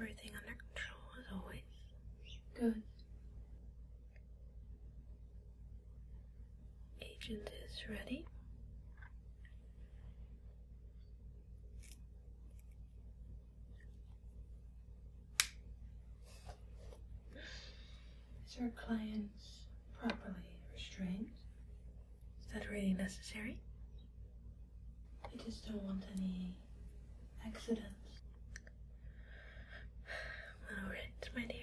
Everything under control as always. Good. Agent is ready. Is our clients properly restrained? Is that really necessary? We just don't want any accidents. All right, my dear.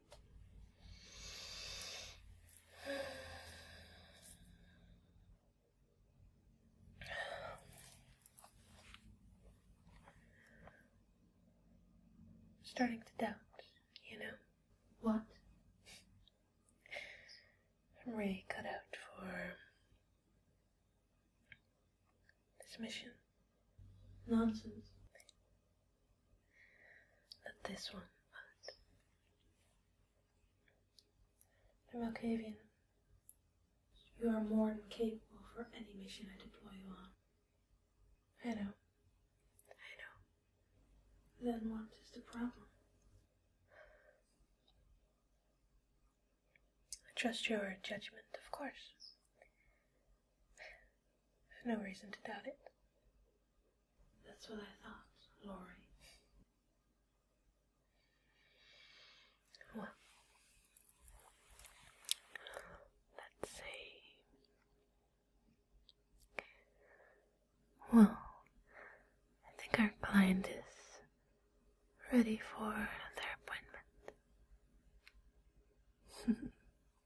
starting to doubt, you know? What? Ray cut out for this mission. Nonsense. Not this one, but the Malkavian. You are more than capable for any mission I deploy you on. I know. I know. Then what is the problem? I trust your judgment, of course no reason to doubt it. That's what I thought, Laurie. Well, let's see. Well, I think our client is ready for their appointment.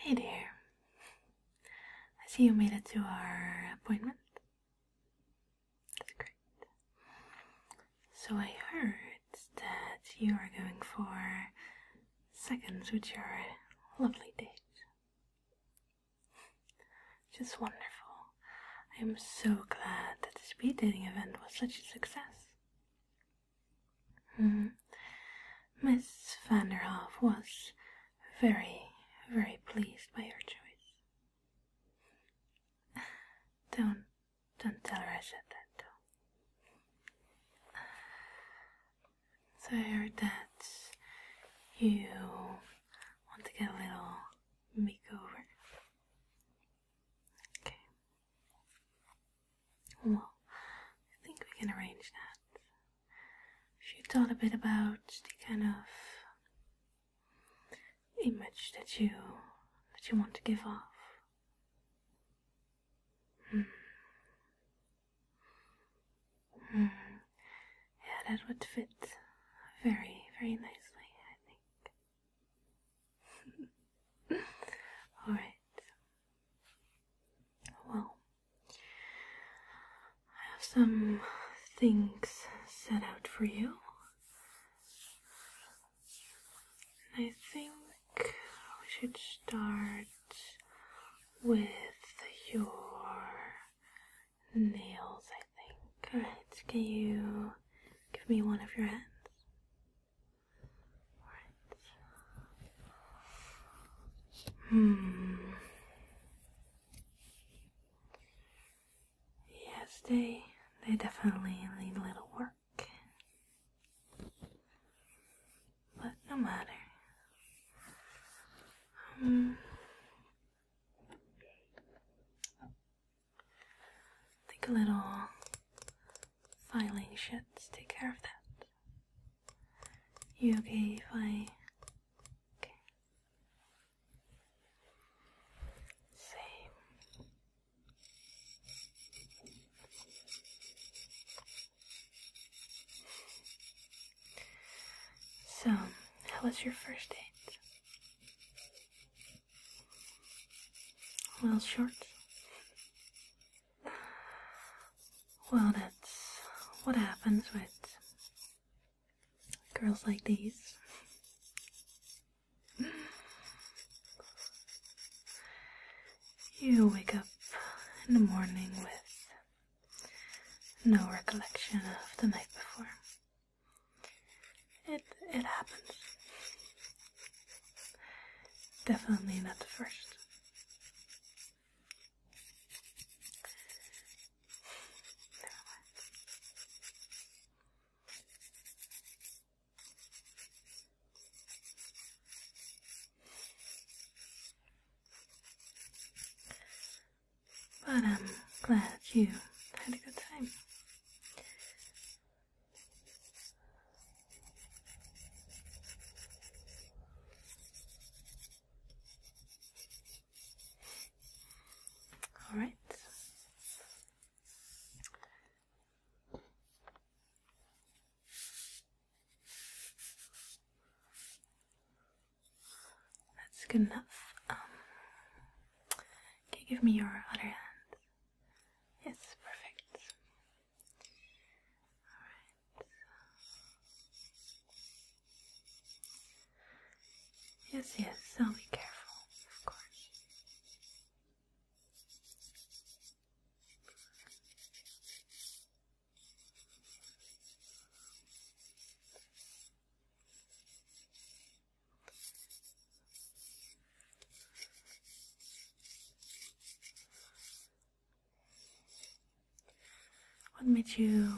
Hey there. I see you made it to our appointment. That's great. So I heard that you are going for seconds with your lovely date. Just wonderful. I'm so glad that the speed dating event was such a success. -hmm. Miss Vanderhoff was very, very pleased by your choice. Don't, don't tell her I said that, though. So I heard that you want to get a little makeover. Okay. Well, I think we can arrange that you thought a bit about the kind of image that you that you want to give off. Hmm. Hmm. Yeah, that would fit very, very nicely, I think. All right. Well, I have some things set out for you. I think we should start with your nails, I think. Alright, can you give me one of your hands? Alright. Hmm. Yes, they they definitely need a little work. But no matter. Um, hmm. think a little filing should take care of that. You okay if I okay. Same. So, how was your first date? Well, short. Well, that's what happens with girls like these. You wake up in the morning with no recollection of the night before. It it happens. Definitely not the first. But I'm glad you had a good time. All right. That's good enough. Um, give me your other hand? Yes, perfect. All right. Yes, yes, I'll be careful, of course. What made you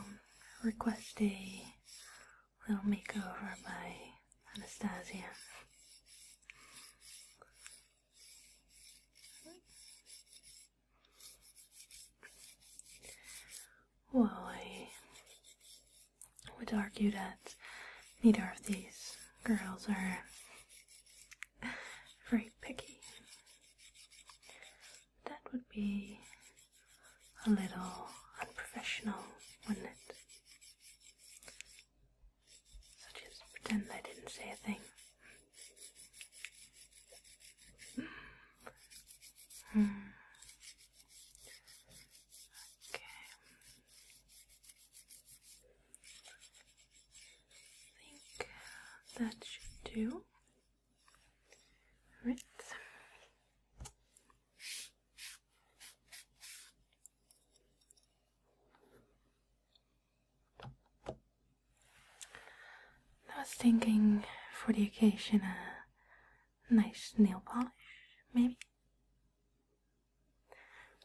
request a little makeover by Anastasia? Well, I would argue that neither of these girls are very picky. That would be a little unprofessional, wouldn't it? So just pretend I didn't say a thing. Hmm. Okay. I think that should do. I was thinking for the occasion a nice nail polish, maybe.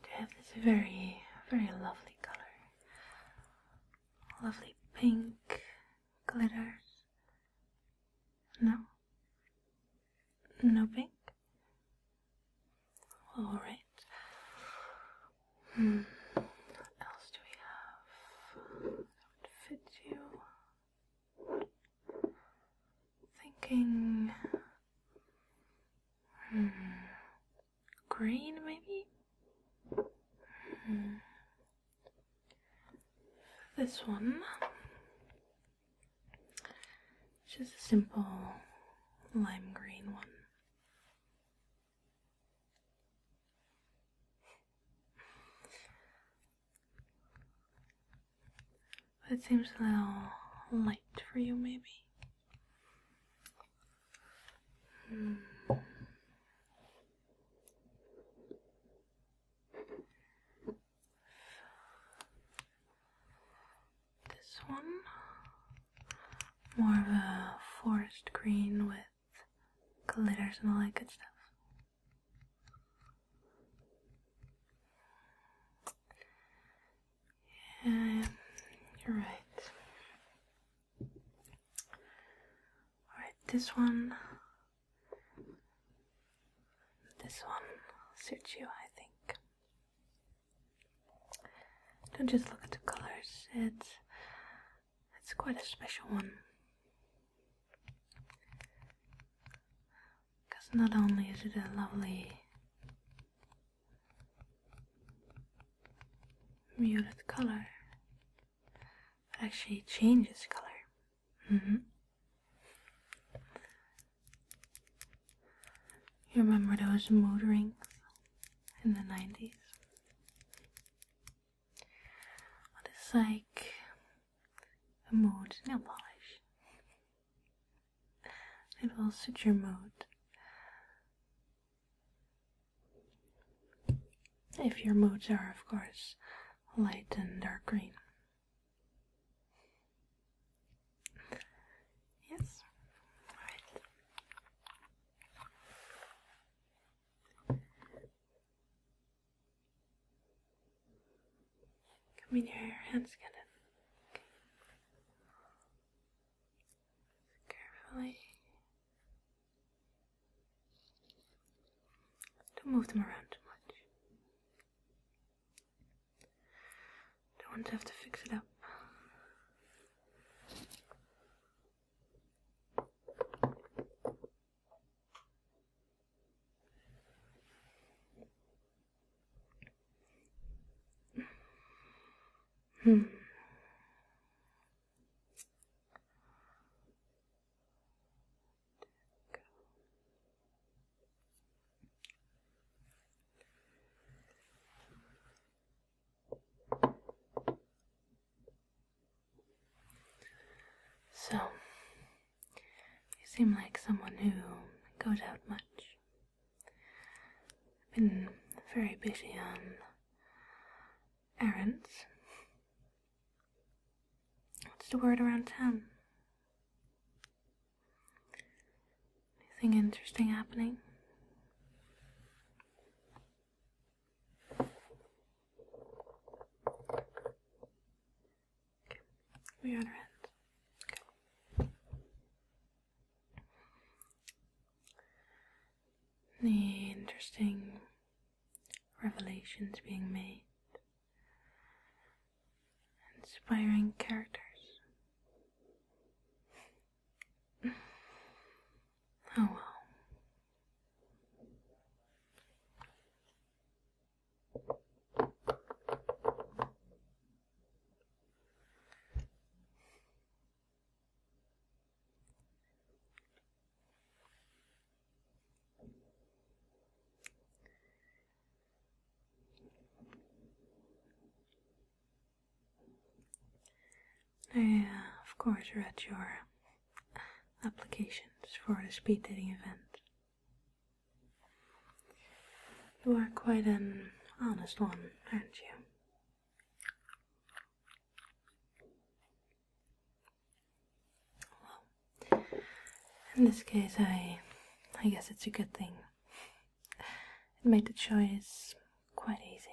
To have this very, very lovely color. Lovely pink glitters. No? No pink? Alright. Hmm. What else do we have that would fit you? Thinking. Hmm. Green, maybe? This one, just a simple lime green one. It seems a little light for you, maybe. Hmm. This one, more of a forest green with glitters and all that good stuff. Yeah, you're right. Alright, this one. This one suits you, I think. Don't just look at the colors, it's, it's quite a special one. Because not only is it a lovely muted color, actually changes color. Mm-hmm. You remember those mood rings in the 90s? What is like a mood nail polish? It will suit your mood. If your moods are, of course, light and dark green. Yes, Come here, hands get Carefully. Don't move them around too much. Don't want to have to fix it up. Hmm. So, you seem like someone who goes out much. I've been very busy on errands. What's the word around town? Anything interesting happening? We got our hands. interesting revelations being made, inspiring characters. Oh well. I, uh, of course, read your applications for the speed dating event. You are quite an honest one, aren't you? in this case, I, I guess it's a good thing. It made the choice quite easy.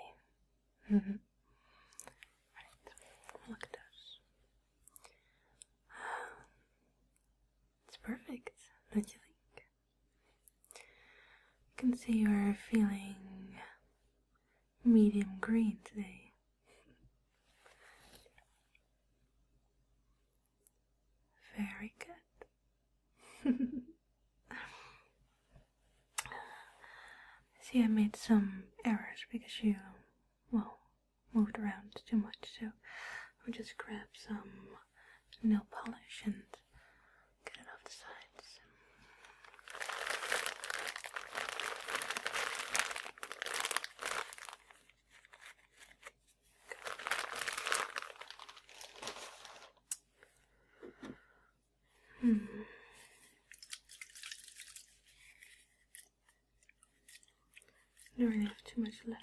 Mm-hmm. look at those. It's perfect, don't you think? I can see you're feeling medium green today. Very good. See, I made some errors because you, well, moved around too much, so I'll just grab some nail polish and get it off the sides. Hmm. I don't really have too much left.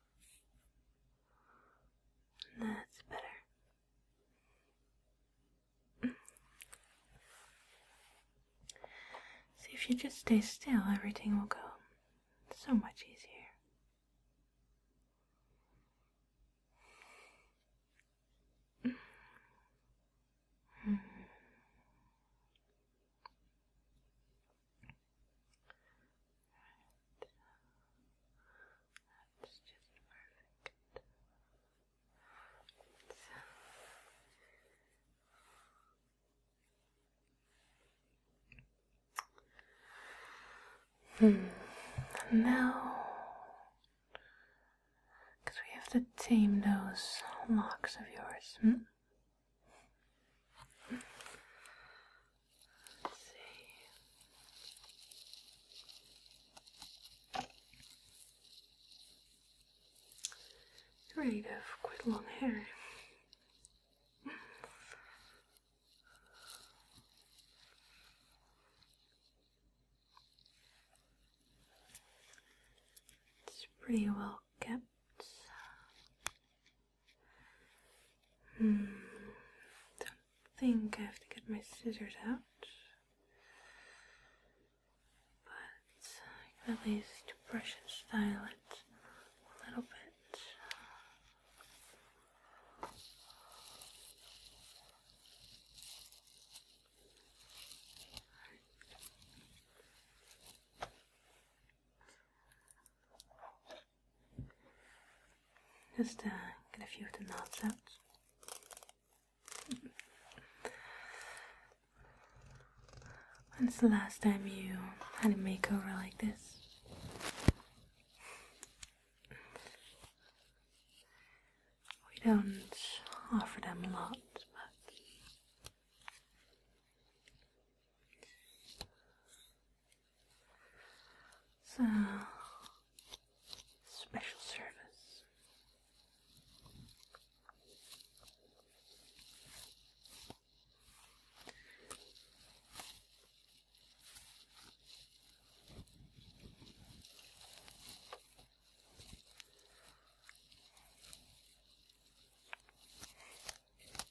That's better. See, if you just stay still, everything will go so much easier. Hmm. And because we have to tame those locks of yours, hmm? You're have quite long hair. It's pretty well kept. Hmm. Don't think I have to get my scissors out, but at least brush and style it a little bit. Just uh, get a few of the knots out. When's the last time you had a makeover like this? We don't offer them a lot, but so, special service.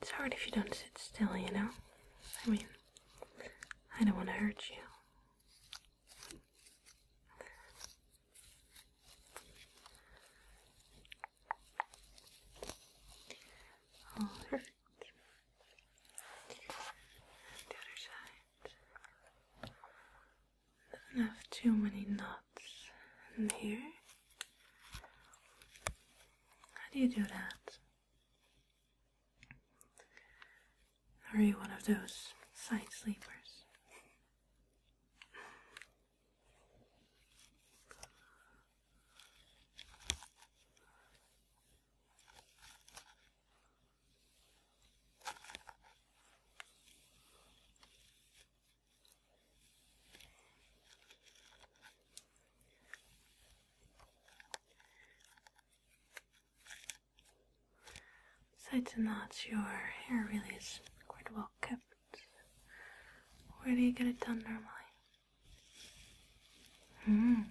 It's hard if you don't sit still, you know? I mean, I don't want to hurt you. All right. the other side. not have too many knots in here. How do you do that? Are you one of those side sleepers? Besides the knots, your hair really is quite well kept. Where do you get it done normally? Hmm.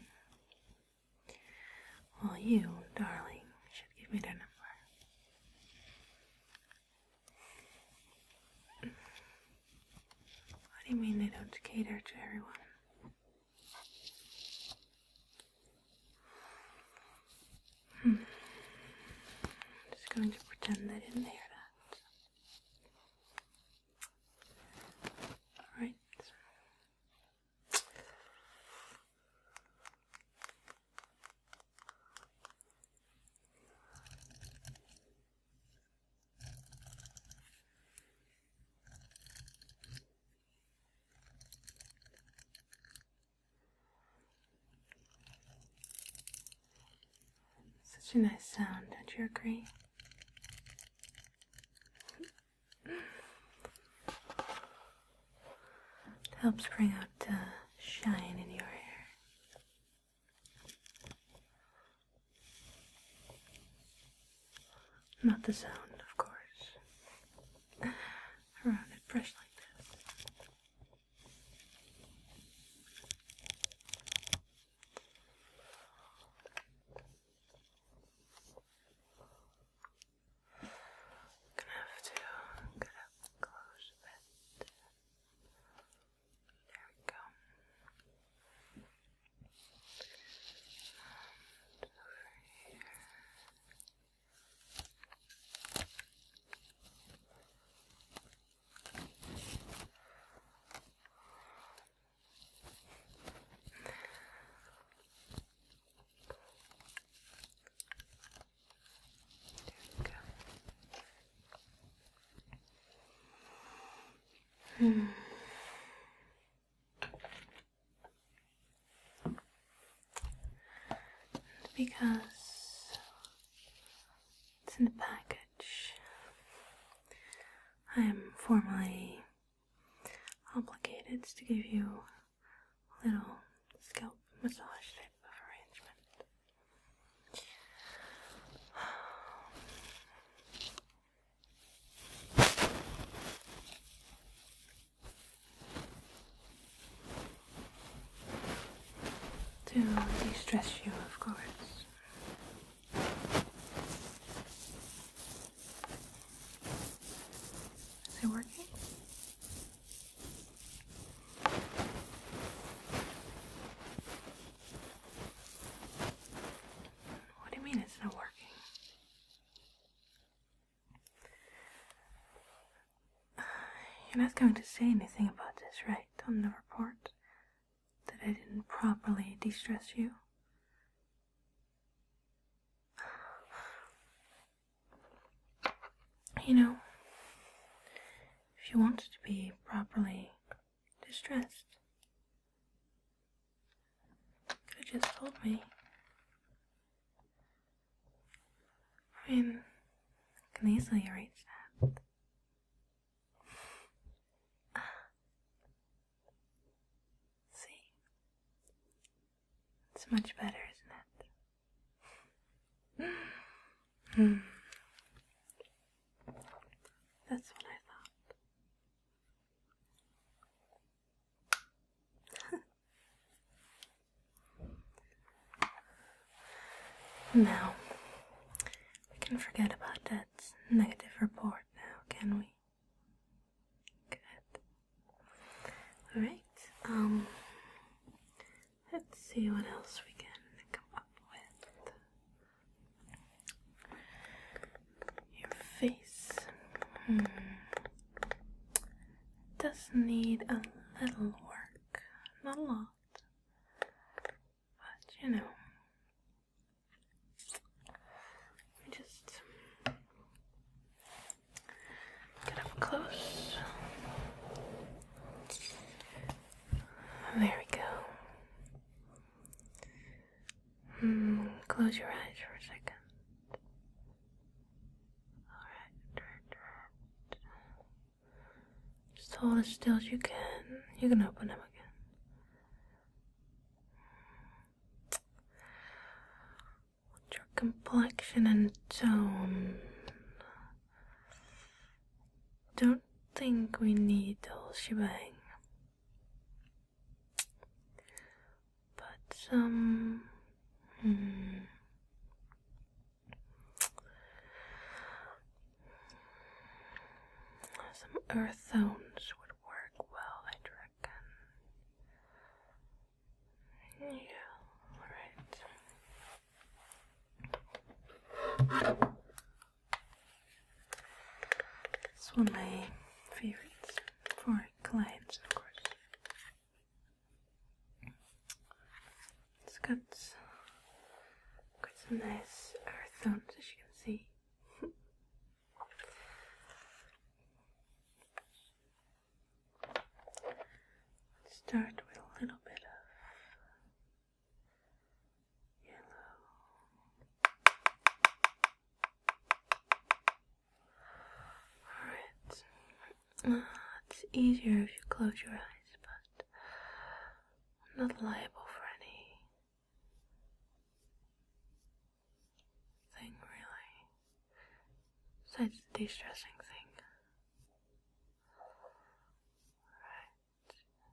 Well, you, darling, should give me their number. What do you mean they don't cater to everyone? Hmm. I'm just going to pretend they didn't hear that. Alright. Such a nice sound, don't you agree? helps bring out the shine in your hair. Not the sound, of course. A rounded brush like this. I'm gonna have to close a there we go. over here. There we go. Because it's in the package, I am formally obligated to give you a little scalp massage type of arrangement. To de stress you, of course. Is it working? What do you mean it's not working? you're not going to say anything about this, right, on the report? That I didn't properly de stress you? You know, if you wanted to be properly distressed. Could have just told me. I mean, can easily reach that. See? It's much better, isn't it? hmm. That's what I thought. now, we can forget about that negative report now, can we? Good. Alright, um, let's see what else we can come up with. Your face hmm, does need a little work, not a lot, but you know, just get up close. There we go. Hmm, close your eyes for a second. Alright, Just hold as still as you can. You can open them again. What's your complexion and tone? Don't think we need the whole shebang. But, um, hmm. some earth tones would work well, I'd reckon. Yeah, alright. It's one of my favorites for clients, of course. It's got quite some nice earth tones, as you can see. Let's start with a little bit of Alright. it's easier if you close your eyes, but I'm not liable for any thing really. Besides the de stressing thing. Alright. Oh, look,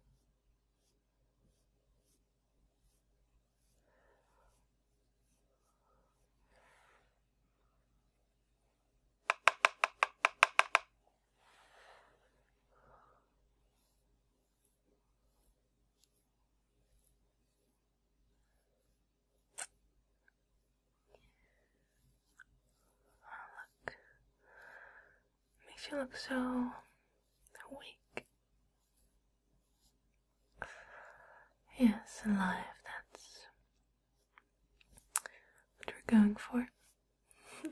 Makes you look so awake. Yes, alive, that's what we're going for.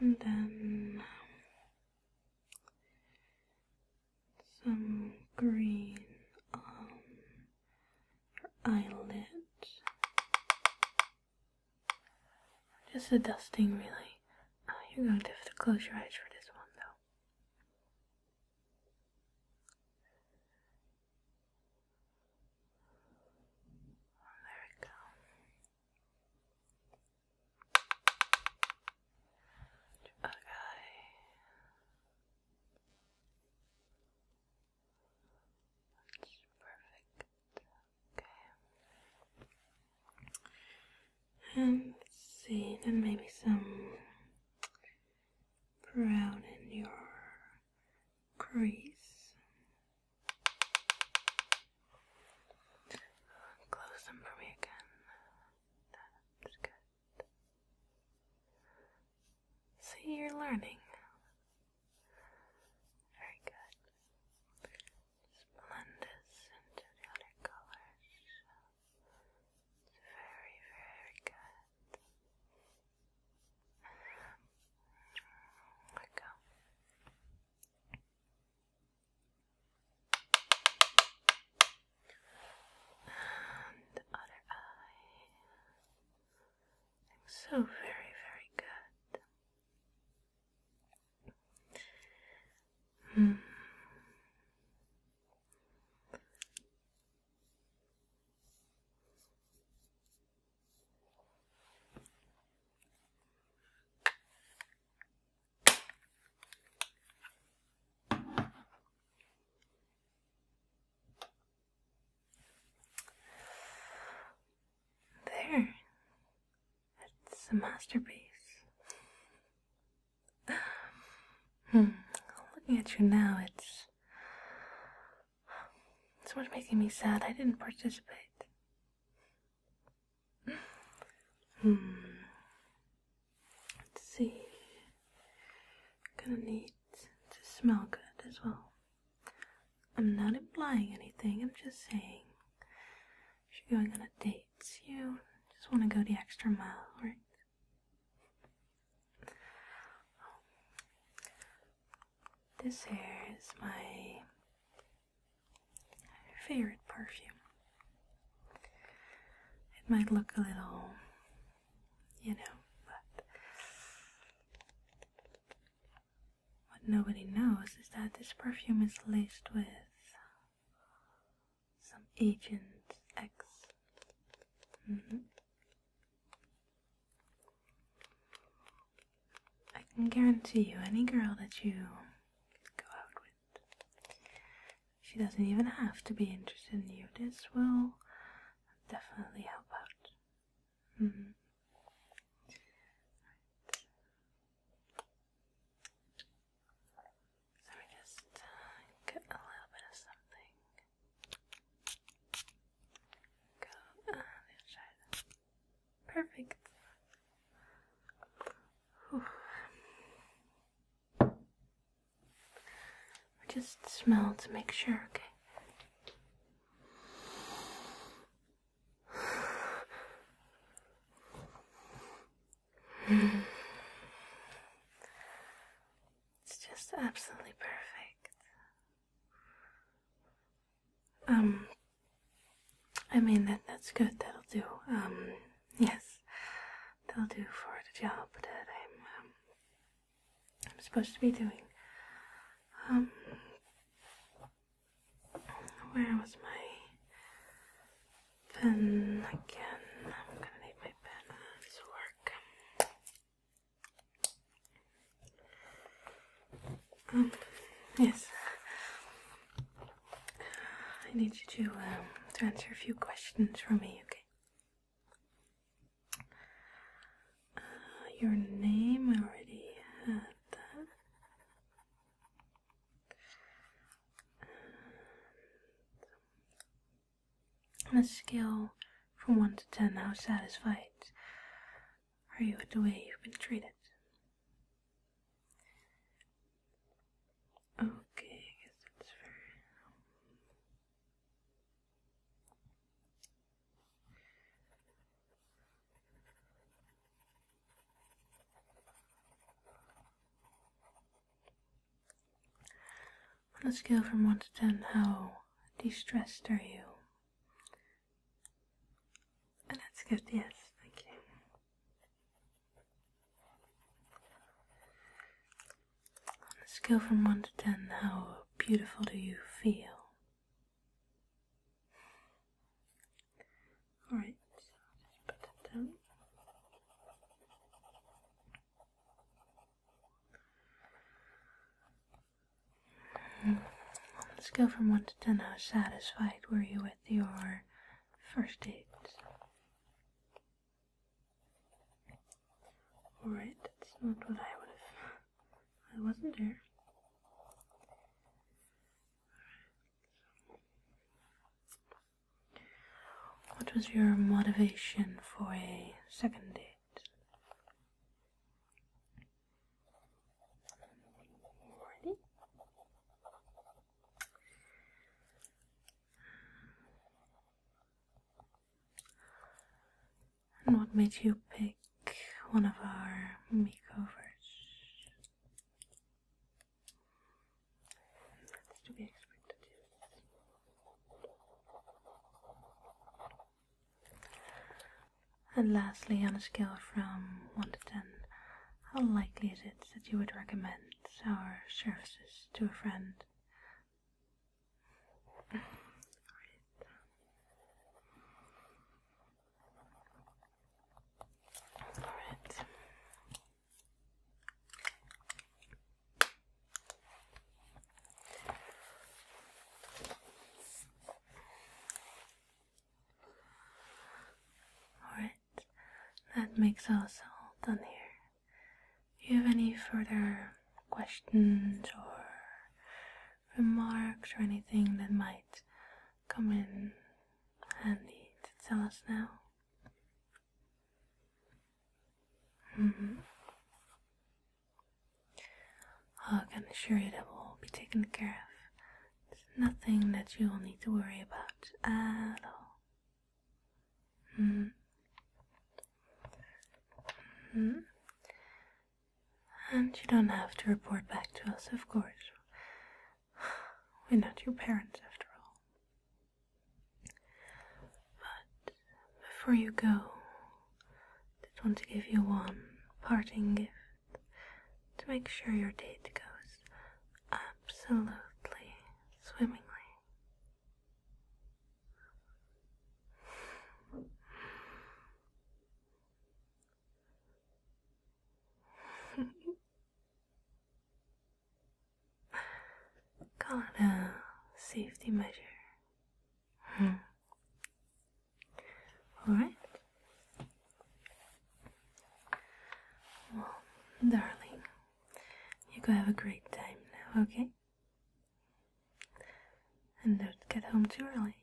and then some green on your eyelid. Just a dusting, really. Oh, you're going to have to close your eyes for this one, though. there we go. The perfect. Okay. And um, see, then maybe some brown in your crease. Close them for me again. That's good. See, you're learning. Very good. Splendid into the other colors. It's very, very good. There we go. And the other eye. so very, very good. Hmm. There, it's a masterpiece. hmm. Looking at you now, it's its what's making me sad. I didn't participate. Hmm. Let's see. Gonna need to smell good as well. I'm not implying anything, I'm just saying if you're going on a date, you just want to go the extra mile, right? This here is my favorite perfume. It might look a little, you know, but what nobody knows is that this perfume is laced with some Agent X. Mm-hmm. I can guarantee you, any girl that you go out with, she doesn't even have to be interested in you. This will definitely help out. Mm-hmm. Let me just uh, get a little bit of something. Go Perfect. Whew. Just smell to make sure, okay? It's just absolutely perfect. Um, I mean that that's good. That'll do. Um, yes, that'll do for the job that I'm um, I'm supposed to be doing. Um, where was my pen again? I'm gonna need my pen to work. Um, yes. I need you to, um, to answer a few questions for me, okay? Uh, your name, I already had that. On a scale from 1 to 10, how satisfied are you with the way you've been treated? Okay, on a scale from 1 to 10, how de-stressed are you? that's good, yes, thank you. On a scale from 1 to 10, how beautiful do you feel? Alright, Let's go from 1 to 10. How satisfied were you with your first date? Alright, that's not what I would have. I wasn't there. What was your motivation for a second date? And what made you pick one of our makeovers? That's to be expected. And lastly, on a scale from 1 to 10, how likely is it that you would recommend our services to a friend? Alright. Alright, that makes us all done here. you have any further questions or remarks or anything that might come in handy to tell us now? I mm-hmm. can assure you that will be taken care of. There's nothing that you will need to worry about at all. Mm-hmm. Mm-hmm. And you don't have to report back to us, of course. We're not your parents after all. But before you go, I just want to give you one parting gift to make sure your date goes absolutely swimmingly. Call it safety measure. Hmm. All right. Well, darling, you go have a great time now, okay? And don't get home too early.